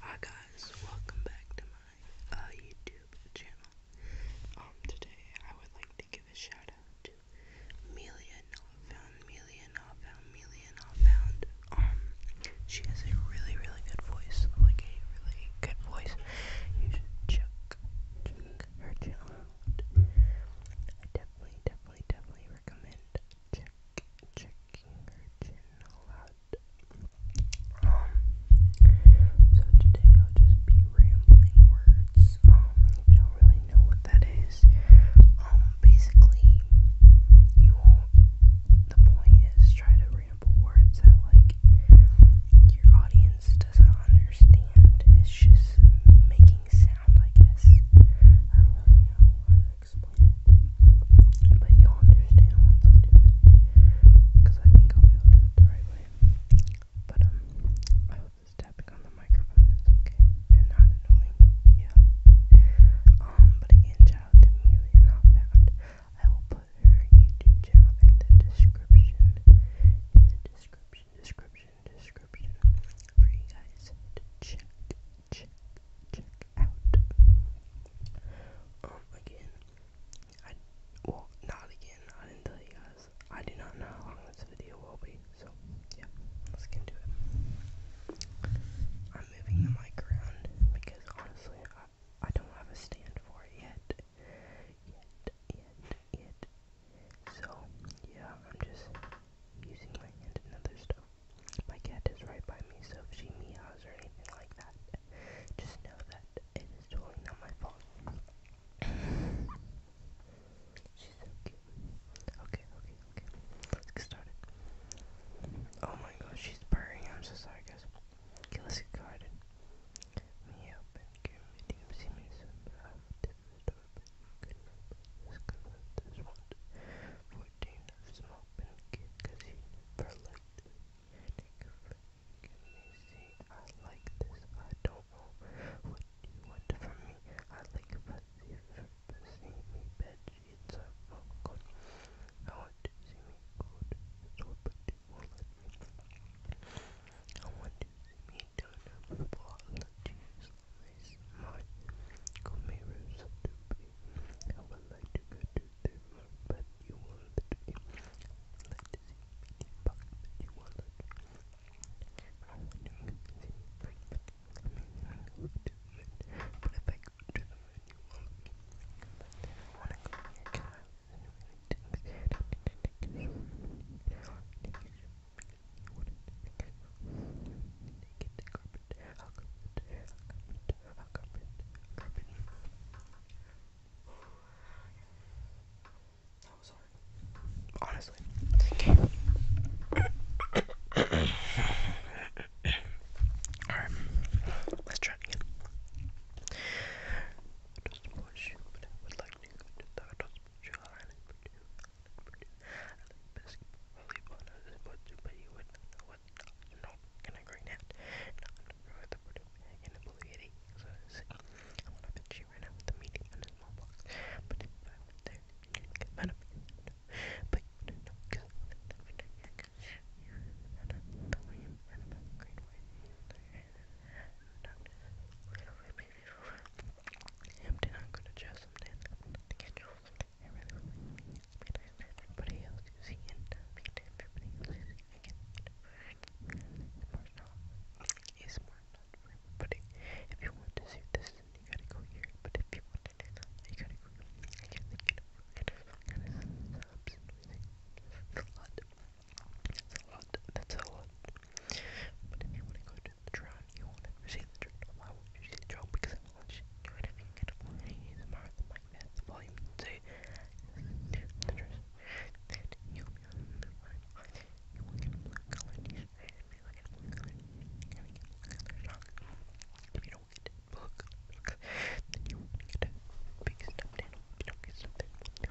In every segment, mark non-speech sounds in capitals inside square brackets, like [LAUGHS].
Hi guys, welcome back to my uh, YouTube channel. Um, today I would like to give a shout out to Melia Not Found, Melia Not Found, Melia Not Found. Um, she has a really, really good voice, like a really good voice. You should check, check her channel out. I definitely, definitely, definitely recommend check checking her chin a lot. Um, so today I'll just be rambling words. Um, you don't really know what that is, um, basically, you won't. The point is try to ramble words that like your audience doesn't understand. It's just making sound, I guess. I don't know how explain it, but you'll understand once I do it, because I think I'll be able to do it the right way. But um, I hope this tapping on the microphone is okay and not annoying. Yeah. Um, but again, shout out to Amelia Not Found. I will put her YouTube channel in the description. In the description, description, description for you guys to check check, out. Um, again, I, well, not again, I didn't tell you guys. I do not know how long this video will be, so, yeah, let's get into it. I'm moving the mic around, because honestly, I don't have a stand for it yet. Yet, yet, yet. So, yeah, I'm just using my hand and other stuff. My cat is right by me, so if she meows or anything like that, just know that it is totally not my fault. She's so cute. Okay, okay, okay. Let's get started. Oh my gosh, she's purring. I'm so sorry, guys. Okay, let's get started. Me give me some stuff this one. 14 of small pinky casino for like this. Take a break and they see I like this. I don't know what you want from me. I like fuzzy for pussy me bed sheets are broken. I want to see me go to the store, but you won't let me. I want to see me down a bottle of cheese face my Comeros to be. I would like to go to the but you won't let me. I would like to see me but you won't let me. I would like to see me go to the moon, but if I go to the moon, you won't let me. But I want to go here, can I? Anyway, I didn't get it. I didn't get it. That was hard. Honestly. Alright. Let's try it again. I don't support you, but I would like to go to the I don't support you, I like to basketball, volleyball, and other sports too, but you wouldn't know what I'm not gonna green out. Not for the putting bag and the bullying. So I'm on a bench here right now with the medium and a small box. But if I went there, you'd get mad at me. But you wouldn't know because I wouldn't know what you're and I'm green way. And I'm not Hampton, I'm gonna show something you. I really want to meet everybody everybody else you see again. Smart for everybody. If you want to see this, you gotta go here. But if you want to do that, you gotta go that's a lot. That's a lot. But if you want to go to the trial, you will never see the journal. I won't see the journal because I'm not sure The volume would you get blue color t shirt. You will get blue You don't get blue color then you won't get a big stuffed animal. you don't get stuffed you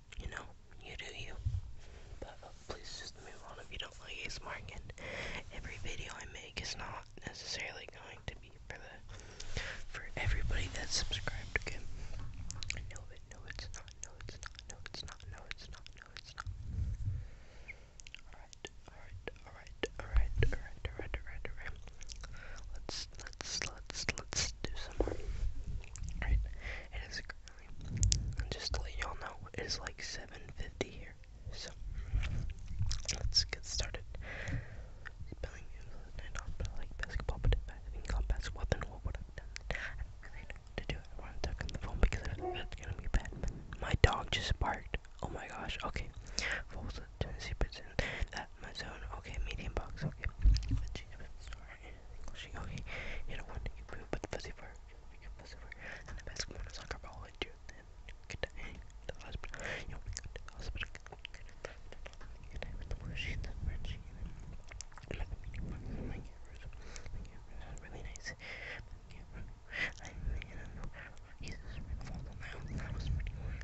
you know, you do you. But uh, please just move on if you don't like ASMR again. Every video I make is not necessarily going to be for the for everybody that's subscribed, okay? I no it's not, no it's not, no it's not, no it's not, no it's not. alright, alright, alright, alright, alright, alright, alright. Let's let's let's let's do some more. it is just to let y'all know it is like 750 here. So let's get started. Spelling and off but like basketball, but if I think got best weapon, what would i do to do. I want to talk on the phone because that's gonna be bad. My dog just barked. Oh my gosh, okay. What was it? My zone. Okay, medium box. Okay. Let's Okay. You know what? You move, but the pussy for you pussy for and the basketball and soccer ball and you then get to the hospital. You know, we go to the hospital. Get to the machine, the machine. I'm not the medium My camera's my really nice. My camera. I mean, I don't know. Jesus, we That was pretty weird.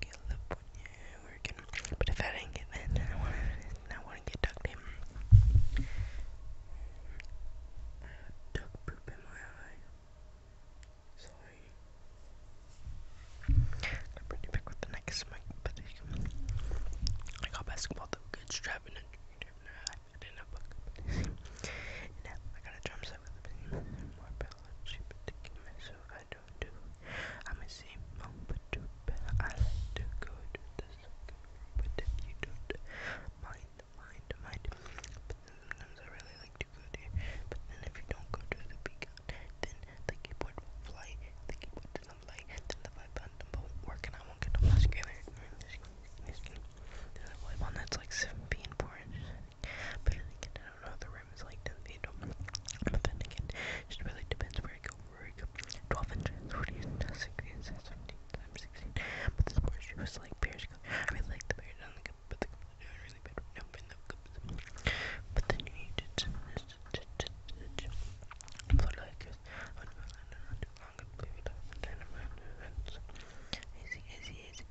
get working. But if I didn't get that, I wouldn't, get duct tape. I have duck poop in my eye. Sorry. I'll bring you with the next mic, but I got basketball though, good strap a [LAUGHS] I got a drum set with a more I'm a simple mom, but do better. I like to go to the soccer room, but if you don't mind, mind, mind. But then sometimes I really like to go there. But then if you don't go to the beacon, then the keyboard won't fly. The keyboard doesn't fly. Then the vibe won't work, and I won't get them last together. This is that's like 7 p and 4 inches. But again, I don't know what the rim is like to the field. again, it just really depends where I go. Where I go. inches, 14, 16, 17, 16. But the sports was like Bears. I really like the Bears on the cup, but the cup is really bad right now. But, no cups. but then you need to. So, like, I don't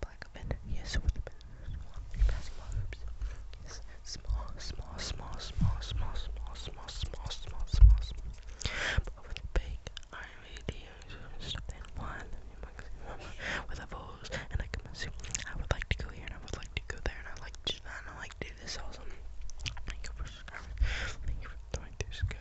black men. Yes, with the basketball hoops. Yes, small, small, small, small, small, small, small, small, small, small, small. But with a big iron radiator and stuff in one, with a hose and like a suit. I would like to go here and I would like to go there and I like to I like to do this also. Thank you for subscribing. this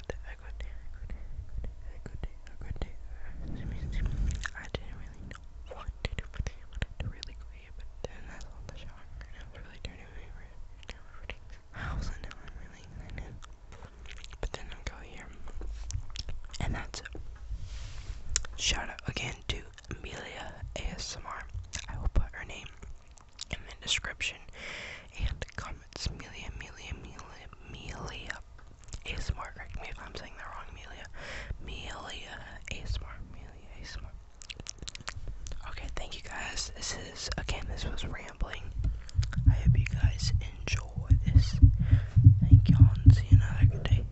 I didn't really know what to do I wanted to really go eat, but then I on the shower I was really dirty. We were I was now really But then I'll go here. And that's Shout out again to Amelia ASMR. I will put her name in the description. And comments, Melia, Melia, Melia, Melia, ASMR, correct me if I'm saying that wrong, Melia, Melia, ASMR, Melia, ASMR. Okay, thank you guys. This is, again, this was rambling. I hope you guys enjoy this. Thank y'all and see you another day.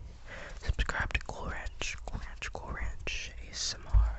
Subscribe to Cool Ranch, Cool Ranch, Cool Ranch, ASMR.